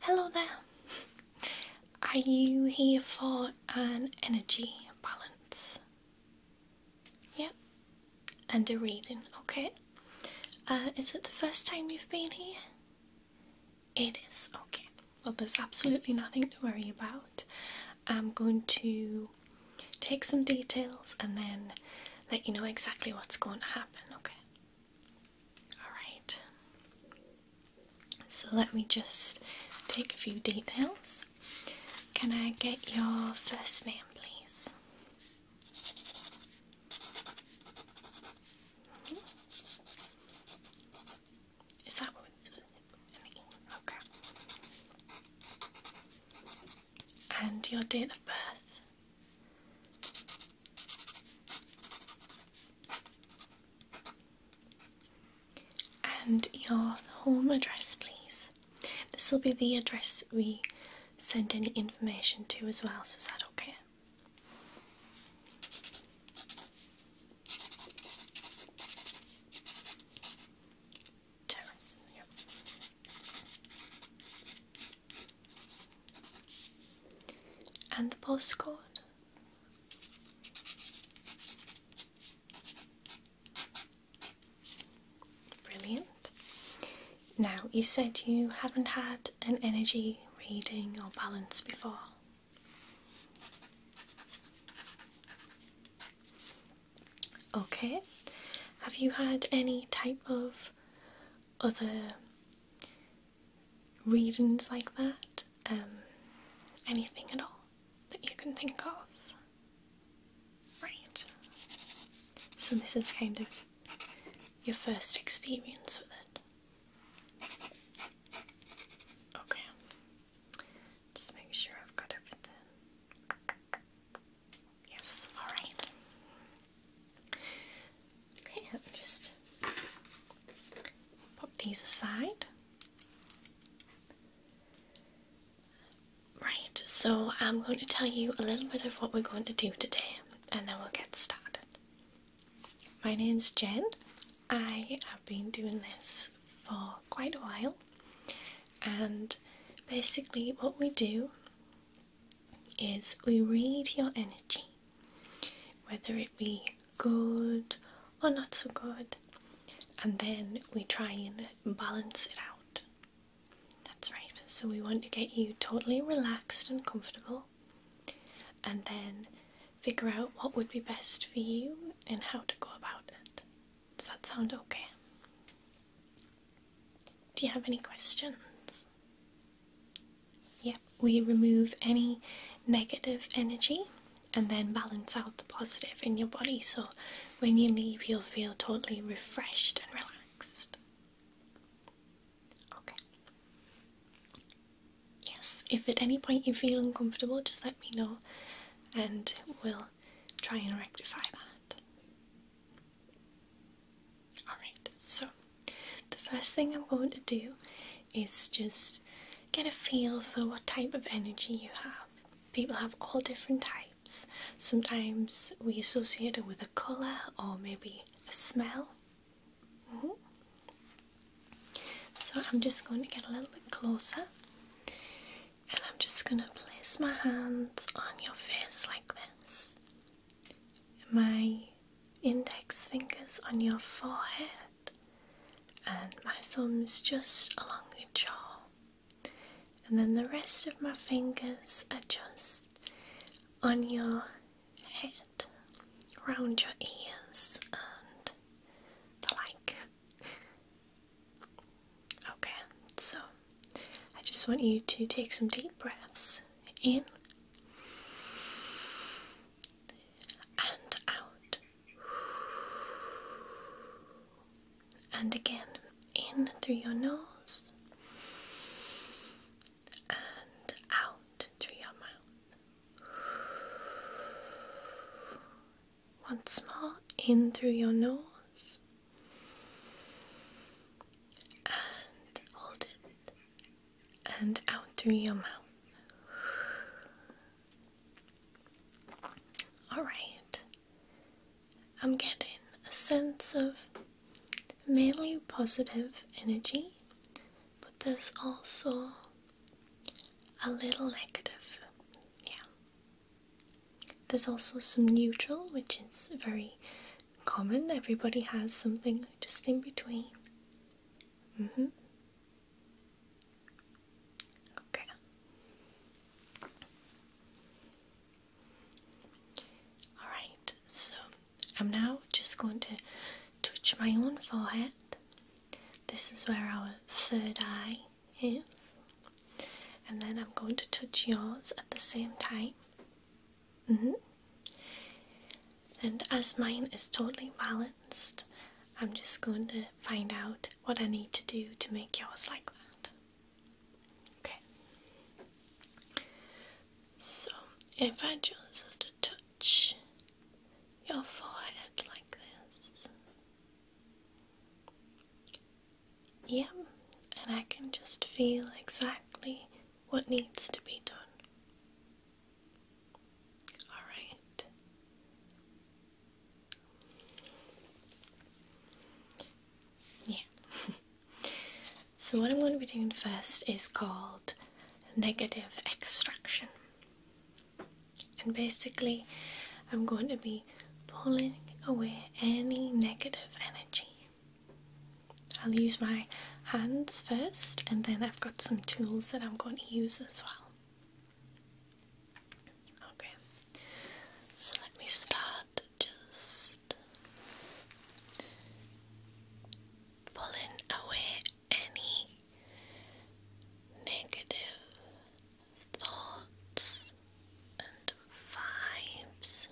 Hello there. Are you here for an energy balance? Yep. Yeah. And a reading, okay. Uh, is it the first time you've been here? It is, okay. Well, there's absolutely nothing to worry about. I'm going to take some details and then let you know exactly what's going to happen, okay? Alright. So let me just take a few details. Can I get your first name, please? Mm-hmm. Is that okay and your date of birth. And your home address, please. This will be the address we send any information to as well, so is that okay? And the postcard. Brilliant. Now, you said you haven't had an energy reading or balance before. Okay. Have you had any type of other reasons like that? Um, anything at all that you can think of? Right. So this is kind of your first experience with it. Okay. Just make sure I've got everything. Yes, alright. Okay, let me just pop these aside. Right, so I'm going to tell you a little bit of what we're going to do today and then we'll get started. My name is Jen. I have been doing this for quite a while. And basically, what we do is we read your energy, whether it be good or not so good, and then we try and balance it out. That's right, so we want to get you totally relaxed and comfortable, and then figure out what would be best for you and how to go about it. Does that sound okay? Do you have any questions? Yep, we remove any negative energy and then balance out the positive in your body so when you leave, you'll feel totally refreshed and relaxed. Okay. Yes, if at any point you feel uncomfortable, just let me know and we'll try and rectify that. Alright, so the first thing I'm going to do is just get a feel for what type of energy you have. People have all different types. Sometimes we associate it with a colour or maybe a smell. Mm-hmm. So I'm just going to get a little bit closer and I'm just going to place my hands on your face like this. My index fingers on your forehead, and my thumbs just along your jaw. And then the rest of my fingers are just on your head, around your ears, and the like. Okay, so I just want you to take some deep breaths in and out. And again, in through your nose and out through your mouth. Once more, in through your nose and hold it and out through your mouth. Alright, I'm getting a sense of mainly positive energy, but there's also a little negative. Yeah, there's also some neutral, which is very common. Everybody has something just in between. Mm-hmm. Okay. Alright, so I'm now just going to touch my own forehead. This is where our third eye Yes. And then I'm going to touch yours at the same time. Mm-hmm. And as mine is totally balanced, I'm just going to find out what I need to do to make yours like that. Okay. So if I just touch your forehead like this. Yep, and I can just feel exactly what needs to be done. Alright. Yeah. so, what I'm going to be doing first is called negative extraction. And basically, I'm going to be pulling away any negative energy. I'll use my hands first, and then I've got some tools that I'm going to use as well. Okay, so let me start just pulling away any negative thoughts and vibes.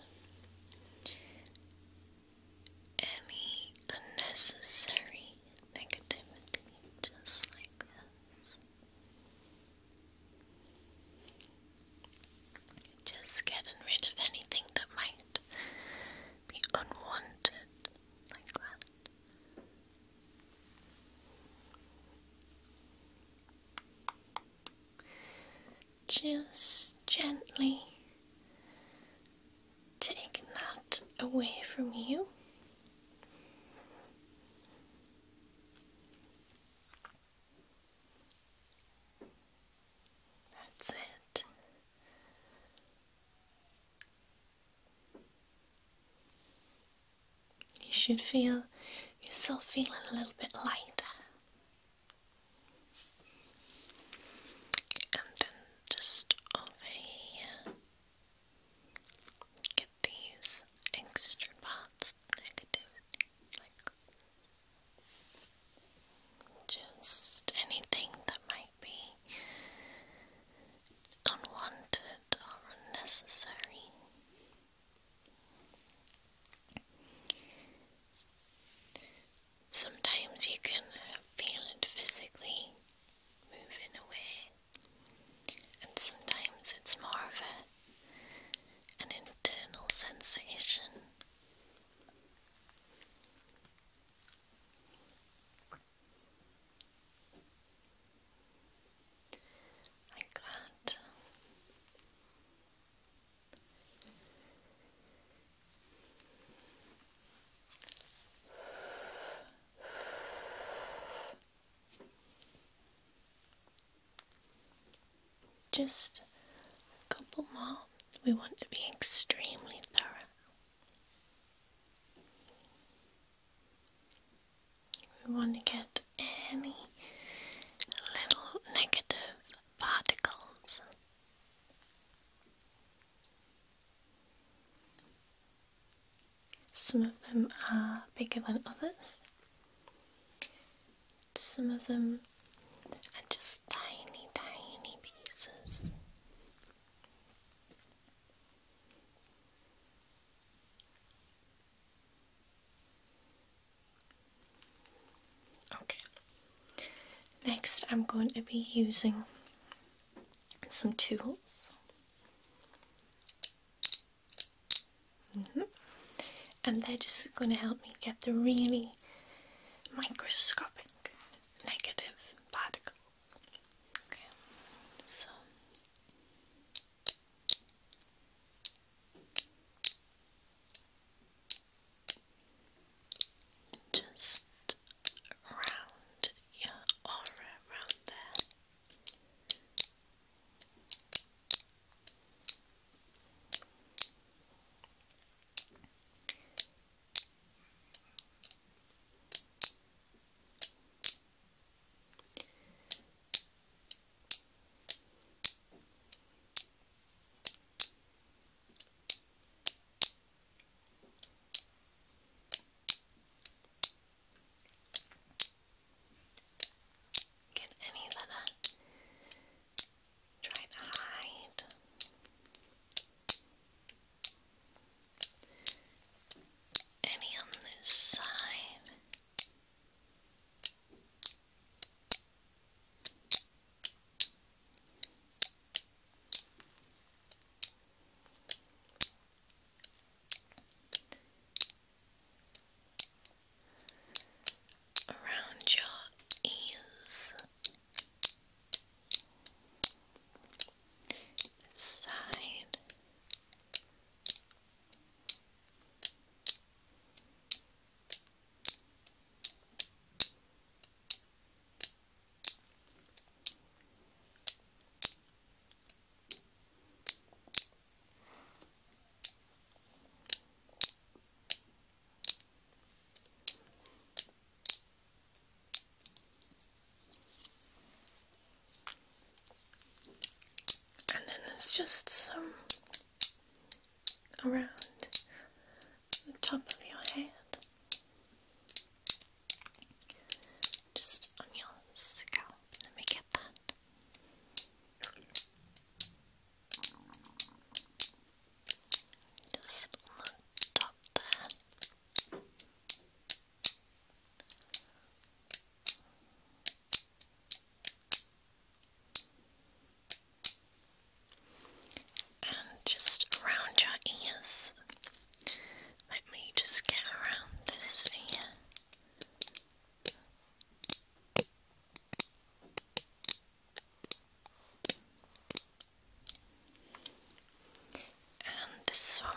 Any unnecessary negativity, just like this. Just getting rid of anything that might be unwanted, like that. Just gently take that away from you. That's it. You should feel yourself feeling a little bit lighter. And then just over here, get these extra parts negativity, just anything that might be unwanted or unnecessary. Sometimes you can feel it physically moving away, and sometimes it's more of an internal sensation. Like that. Just a couple more. We want to be extremely thorough. We want to get any little negative particles. Some of them are bigger than others. Some of them are just tiny, tiny pieces. Okay. Next, I'm going to be using some tools. Mm-hmm. And they're just going to help me get the really microscopic negative particles. Okay, just round your aura around there. Get any that are uh, to hide. Any on this side? Around your ears, side, and then there's just some around the top of your head, just on your scalp. Let me get that. Just on the top there. And just around your ears. Let me just get around this ear. And this one.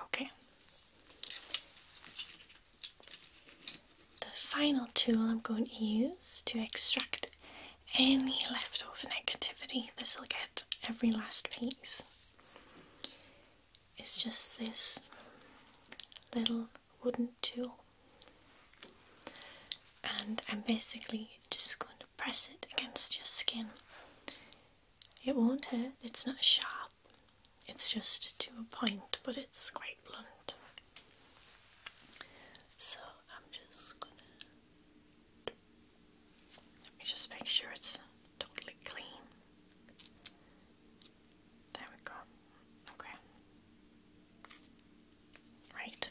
Okay. The final tool I'm going to use to extract any leftover negativity, this will get every last piece, is just this little wooden tool. And I'm basically just going to press it against your skin. It won't hurt, it's not sharp, it's just to a point, but it's quite blunt. So I'm just gonna. just make sure it's totally clean. There we go. Okay. Right.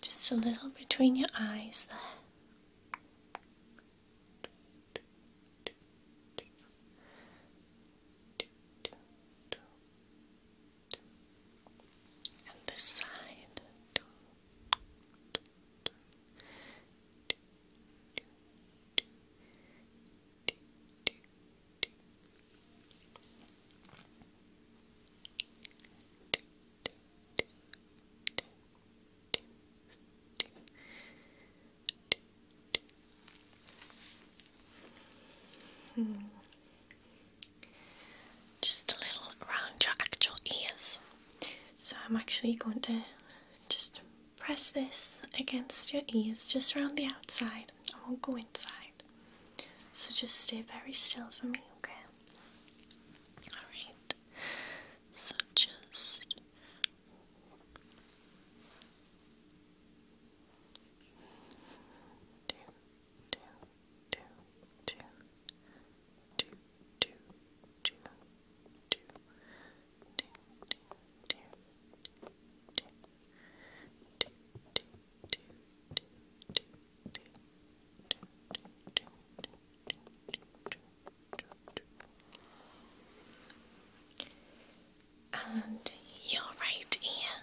Just a little between your eyes there and this side. Hmm just a little around your actual ears. So I'm actually going to just press this against your ears, just around the outside. I won't go inside. So just stay very still for me, okay? Alright. So just. Do two, two, two, two, two, two, two, two, two, two, two, two, two, two, and your right ear.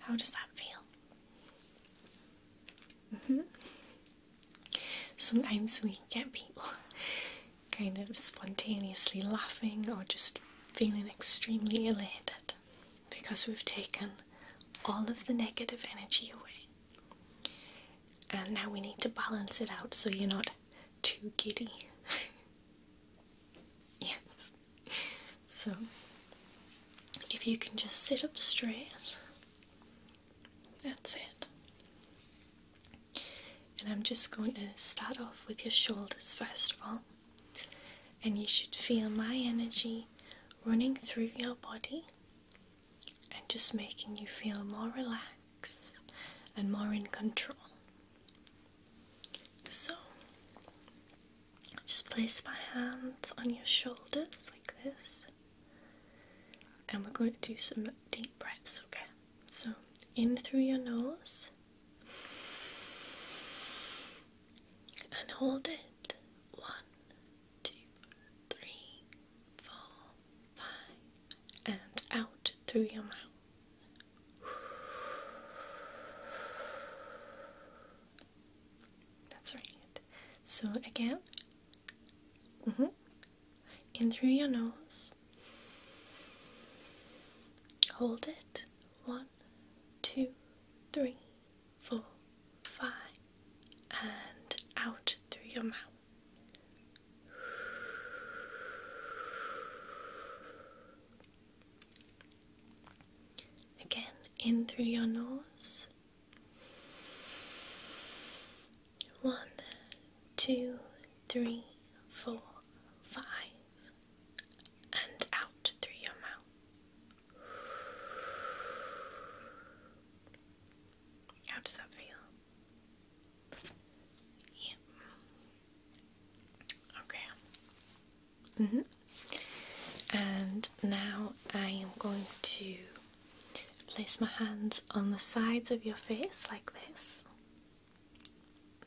How does that feel? Mm -hmm. Sometimes we get people kind of spontaneously laughing or just feeling extremely elated because we've taken all of the negative energy away. And now we need to balance it out so you're not too giddy. Yes. So, if you can just sit up straight, that's it. And I'm just going to start off with your shoulders first of all. And you should feel my energy running through your body and just making you feel more relaxed and more in control. So just place my hands on your shoulders like this, and we're going to do some deep breaths, okay? So, in through your nose and hold it one, two, three, four, five, and out through your mouth. That's right. So again, mm-hmm. in through your nose. Hold it. One, two, three, four, five, and out through your mouth. Again, in through your nose. One, two, three, four, five, and out through your mouth. How does that feel? Yep. Okay. Mm-hmm. And now I am going to place my hands on the sides of your face like this.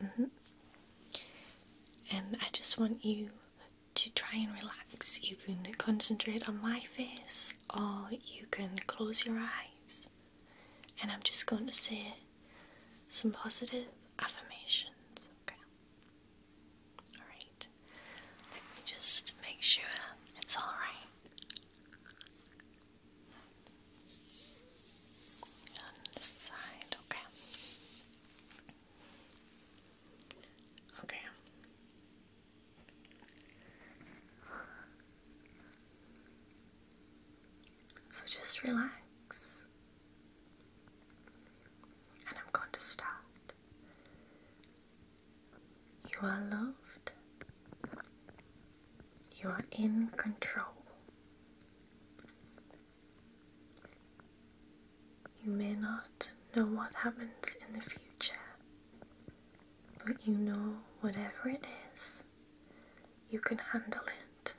Mm-hmm. And I just want you to try and relax. You can concentrate on my face or you can close your eyes. And I'm just going to say some positive affirmations, okay? Alright, let me just make sure it's alright. On this side, okay. Okay. So just relax. And I'm going to start. You are loved. You are in control. You may not know what happens in the future, but you know whatever it is, you can handle it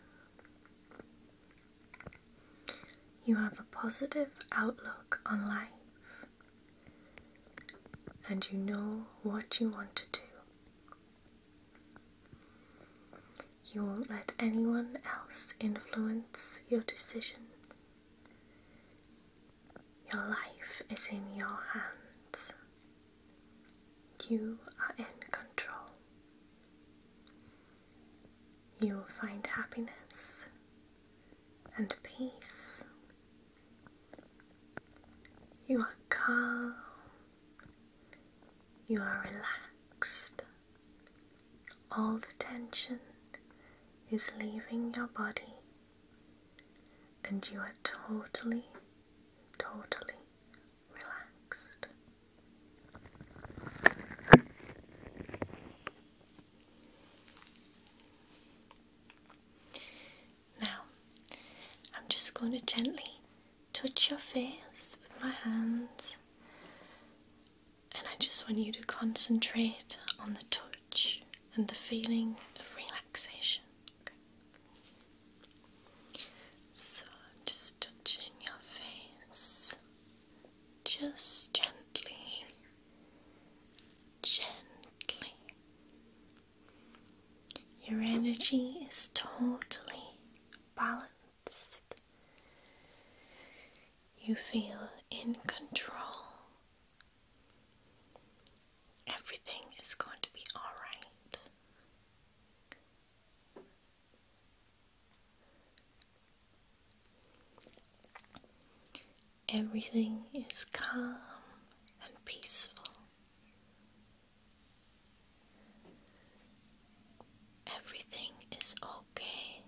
you have a positive outlook on life and you know what you want to do. You won't let anyone else influence your decision. Your life is in your hands. You are in control. You will find happiness and peace. You are calm. You are relaxed. All the tension is leaving your body, and you are totally, totally relaxed. Now, I'm just going to gently touch your face with my hands, and I just want you to concentrate on the touch and the feeling of relaxation. So, just touching your face, just gently, gently. Your energy is totally balanced. You feel in control. Everything is going to be alright. Everything is calm and peaceful. Everything is okay.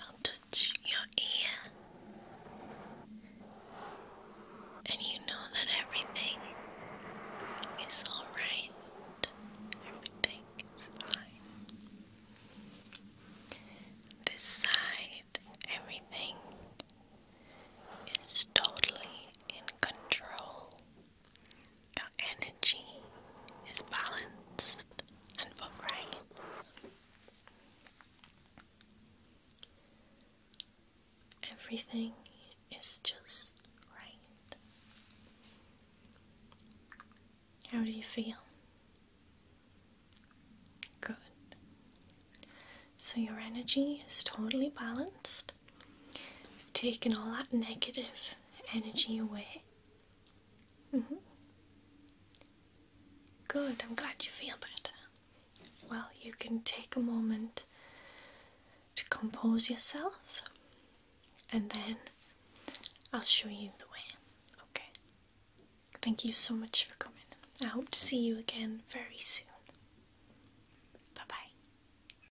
I'll touch your ear and you know that everything is alright, everything is fine. This side, everything is totally in control. Your energy is balanced and upright. Everything is just right. How do you feel? Good. So your energy is totally balanced. I've taken all that negative energy away. Mm-hmm. Good, I'm glad you feel better. Well, you can take a moment to compose yourself and then I'll show you the way. Okay. Thank you so much for coming. I hope to see you again very soon. Bye bye.